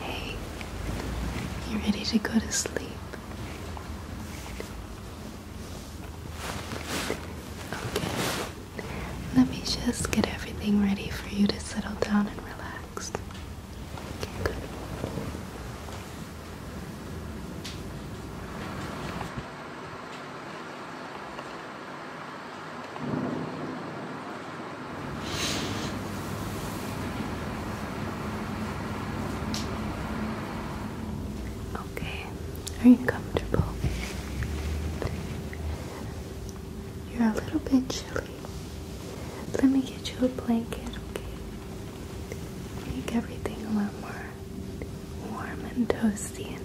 Hey, you ready to go to sleep? Okay, let me just get everything ready for you to settle down and relax. Okay, good. Okay, are you comfortable? You're a little bit chilly. Let me get you a blanket, okay? Make everything a lot more warm and toasty in here.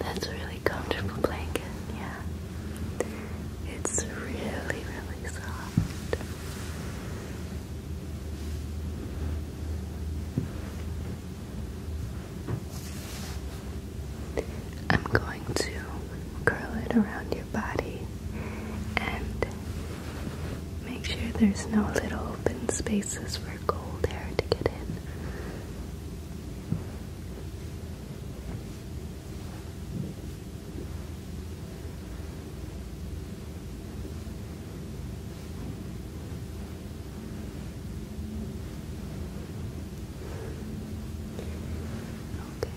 That's a really comfortable blanket, yeah. It's really, really soft. I'm going to curl it around your body and make sure there's no little open spaces for cold air to get in okay.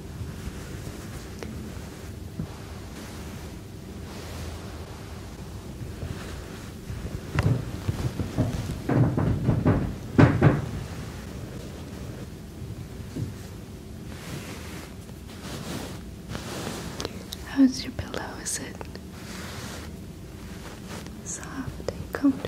How's your pillow? Is it soft and comfortable?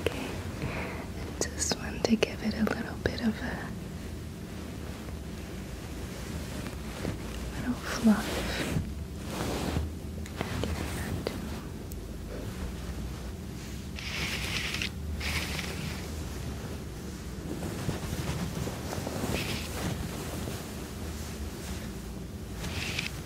Okay, I just want to give it a little bit of a little fluff. And Okay.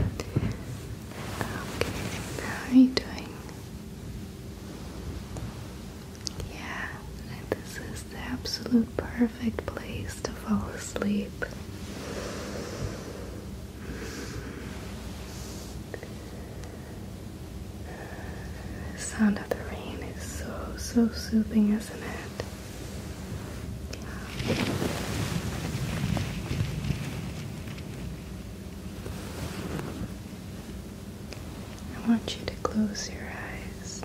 Okay, how are you doing? Yeah, this is the absolute perfect place to fall asleep. The sound of the rain is so, so soothing, isn't it? I want you to close your eyes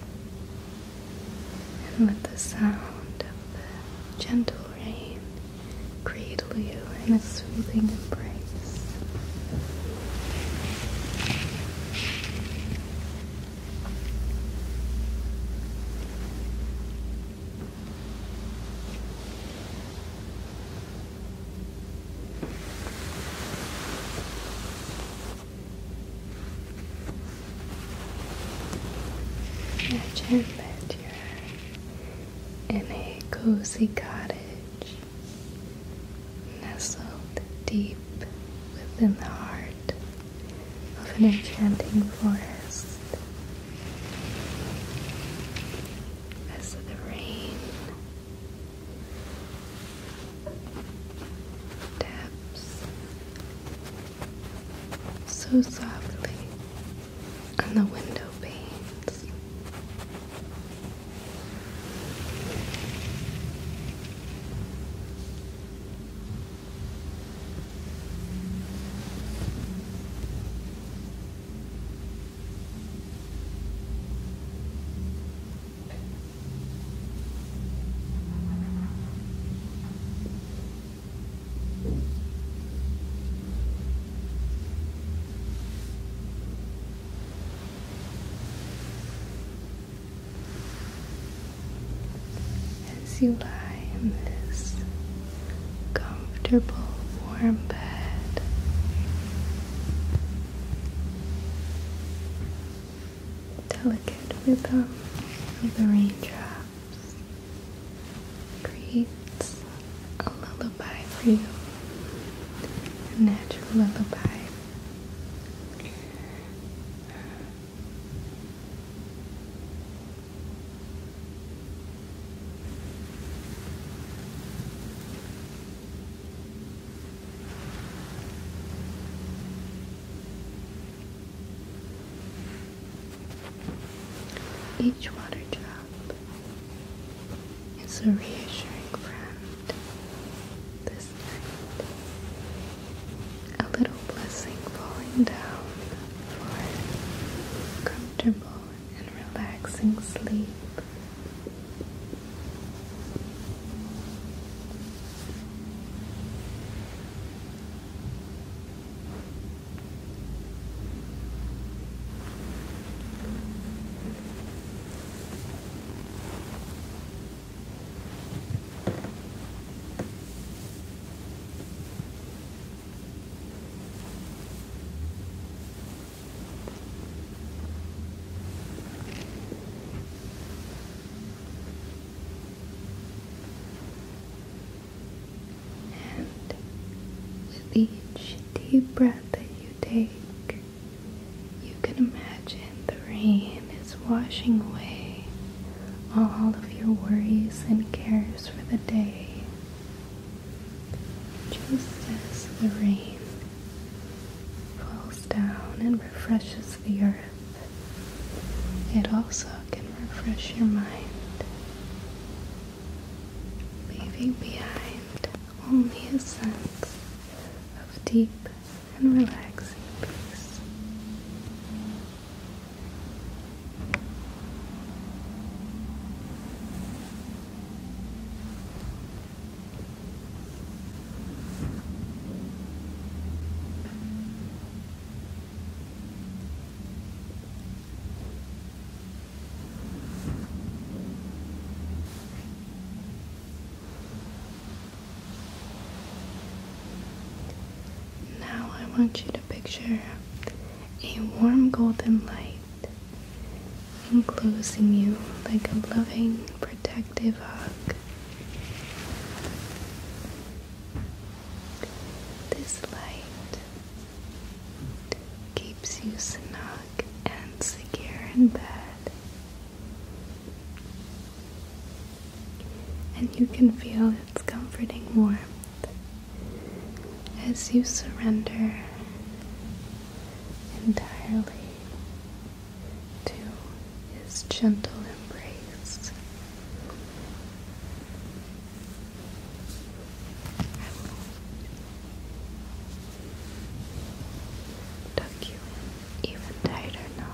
and let the sound of the gentle rain cradle you in a soothing embrace. Imagine that you're in a cozy cottage, nestled deep within the heart of an enchanting forest as the rain taps so softly on the window panes. As you lie in this comfortable, warm bed. Delicate rhythm um, of the raindrops creates a lullaby for you, a natural lullaby. Each water drop is a reassuring friend this night. A little blessing falling down for comfortable and relaxing sleep. And with each deep breath that you take, you can imagine the rain is washing away all of your worries and cares for the day just as the rain falls down and refreshes the earth, it also can refresh your mind, leaving behind only a sense of deep and relaxing peace. Now I want you to picture a warm golden light enclosing you like a loving, protective hug. This light keeps you snug and secure in bed. And you can feel its comforting warmth as you surrender entirely to his gentle embrace. I will tuck you even tighter now.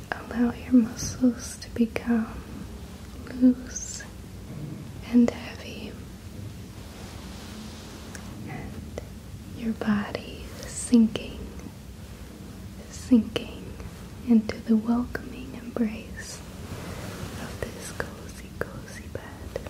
Allow your muscles to become loose and heavy, and your body sinking, sinking into the welcoming embrace of this cozy, cozy bed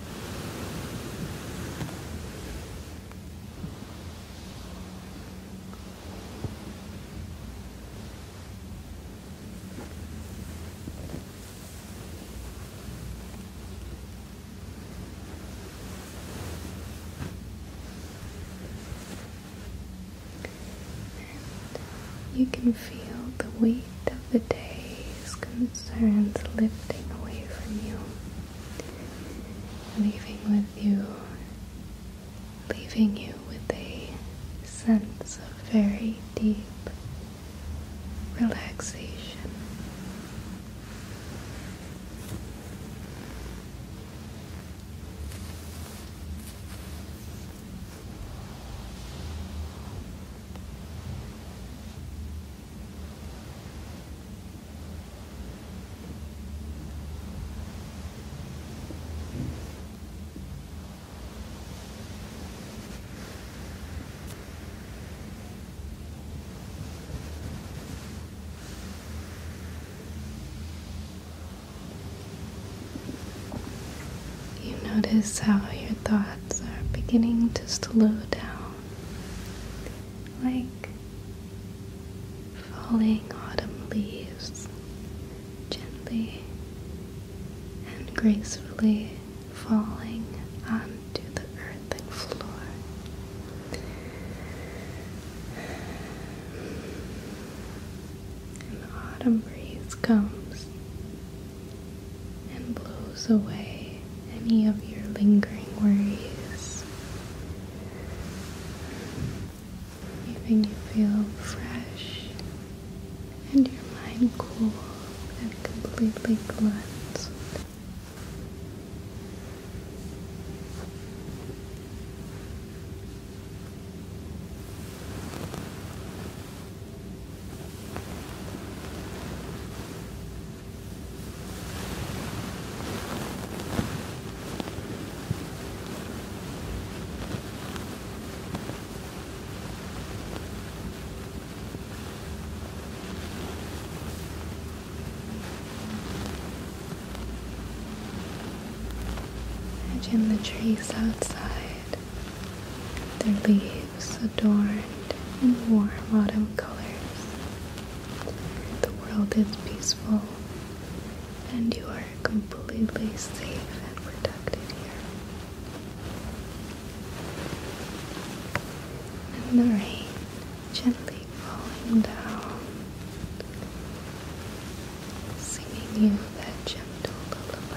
you can feel the weight of the day's concerns lifting away from you, leaving with you leaving you with a sense of very deep relaxation. You notice how your thoughts are beginning to slow down, like falling autumn leaves gently and gracefully falling onto the earthen floor. And the autumn breeze comes and blows away any of your lingering worries leaving you feel fresh and your mind cool and completely cleansed. Imagine the trees outside, their leaves adorned in warm autumn colors. The world is peaceful, and you are completely safe and protected here. And the rain gently falling down, singing you that gentle lullaby.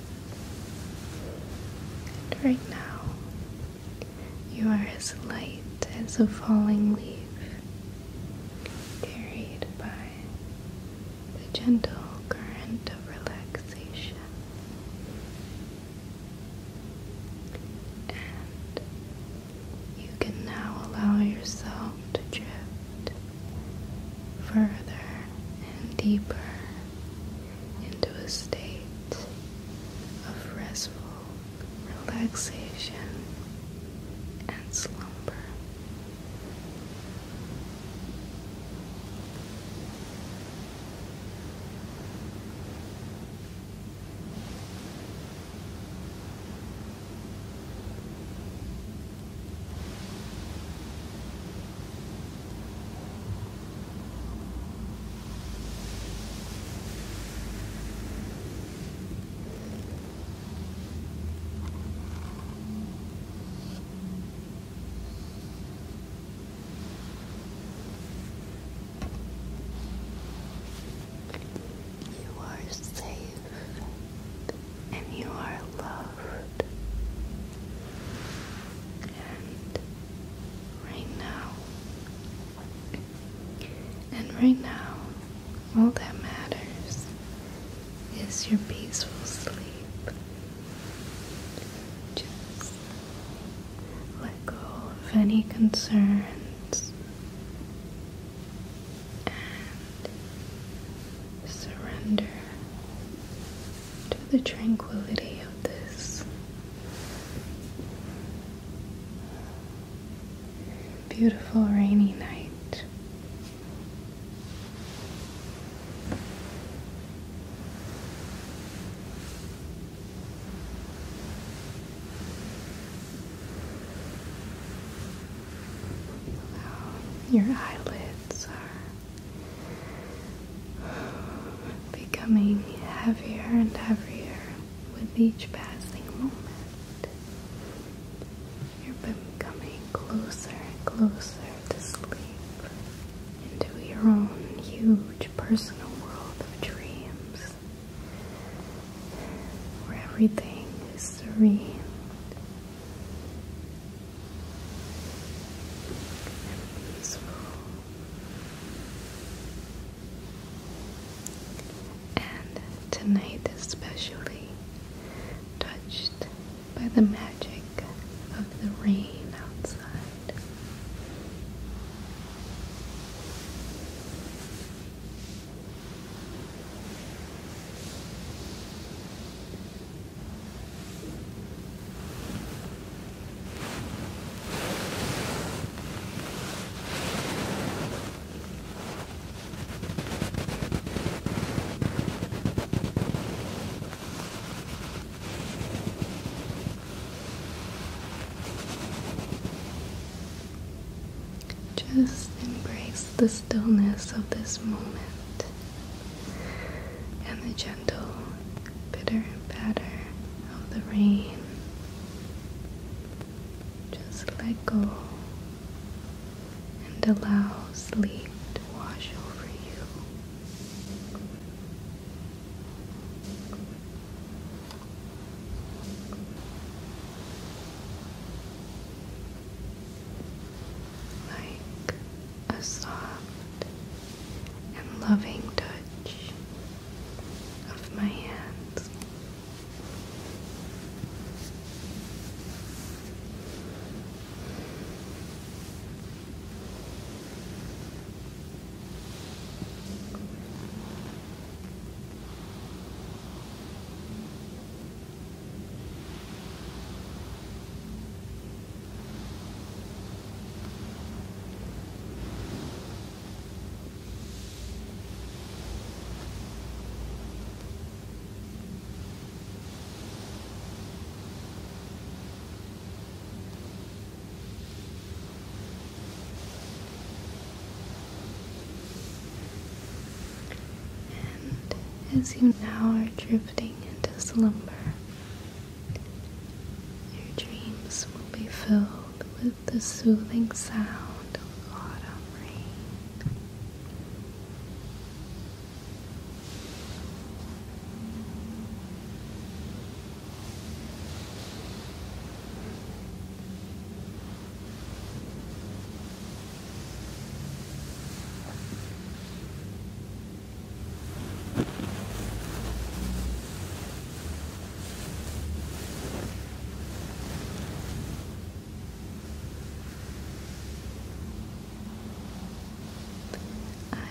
right now, you are as light as a falling leaf, carried by the gentle current of relaxation. And you can now allow yourself to drift further and deeper into a state of restful relaxation and slumber. You are safe and you are loved. And right now, and right now, all that matters is your peaceful sleep. Just let go of any concerns and surrender to the tranquility of this beautiful rainy night. your eyelids are becoming heavier and heavier with each passing moment. You're becoming closer and closer to sleep into your own huge personal world of dreams where everything is serene and peaceful and tonight especially touched by the magic of the rain outside just embrace the stillness of this moment and the gentle, bitter patter of the rain. Just let go and allow sleep to wash over you. Like a soft and loving touch of my hands as you now are drifting into slumber, your dreams will be filled with the soothing sound of autumn rain. I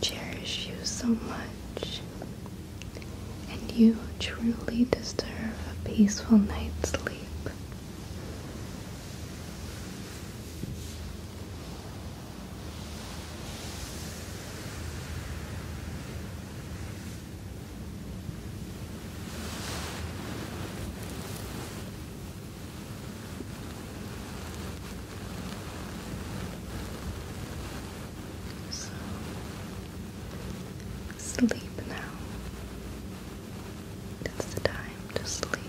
cherish you so much, and you truly deserve a peaceful night's sleep. So sleep now. It's the time to sleep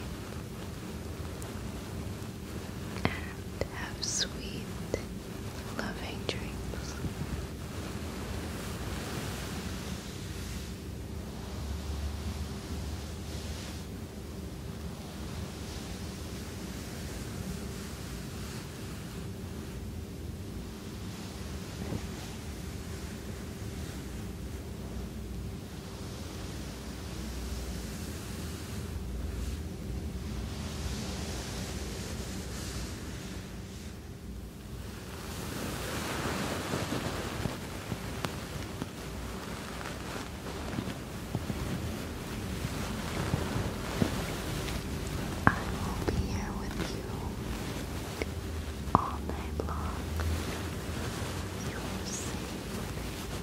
and have sweet, loving dreams. I will be here with you all night long. You are safe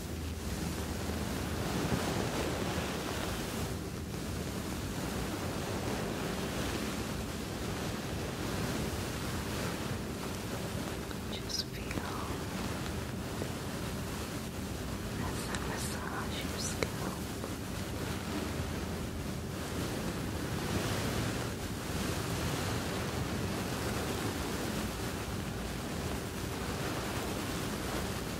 Just feel as I massage your scalp.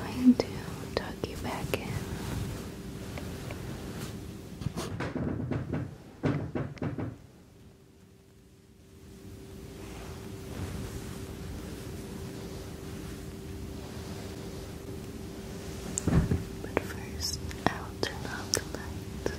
I'm going to tuck you back in. But first, I'll turn off the lights.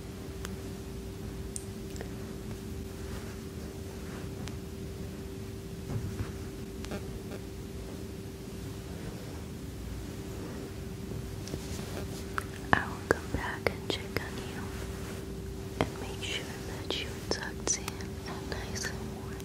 I will come back and check on you and make sure that you're tucked in and nice and warm.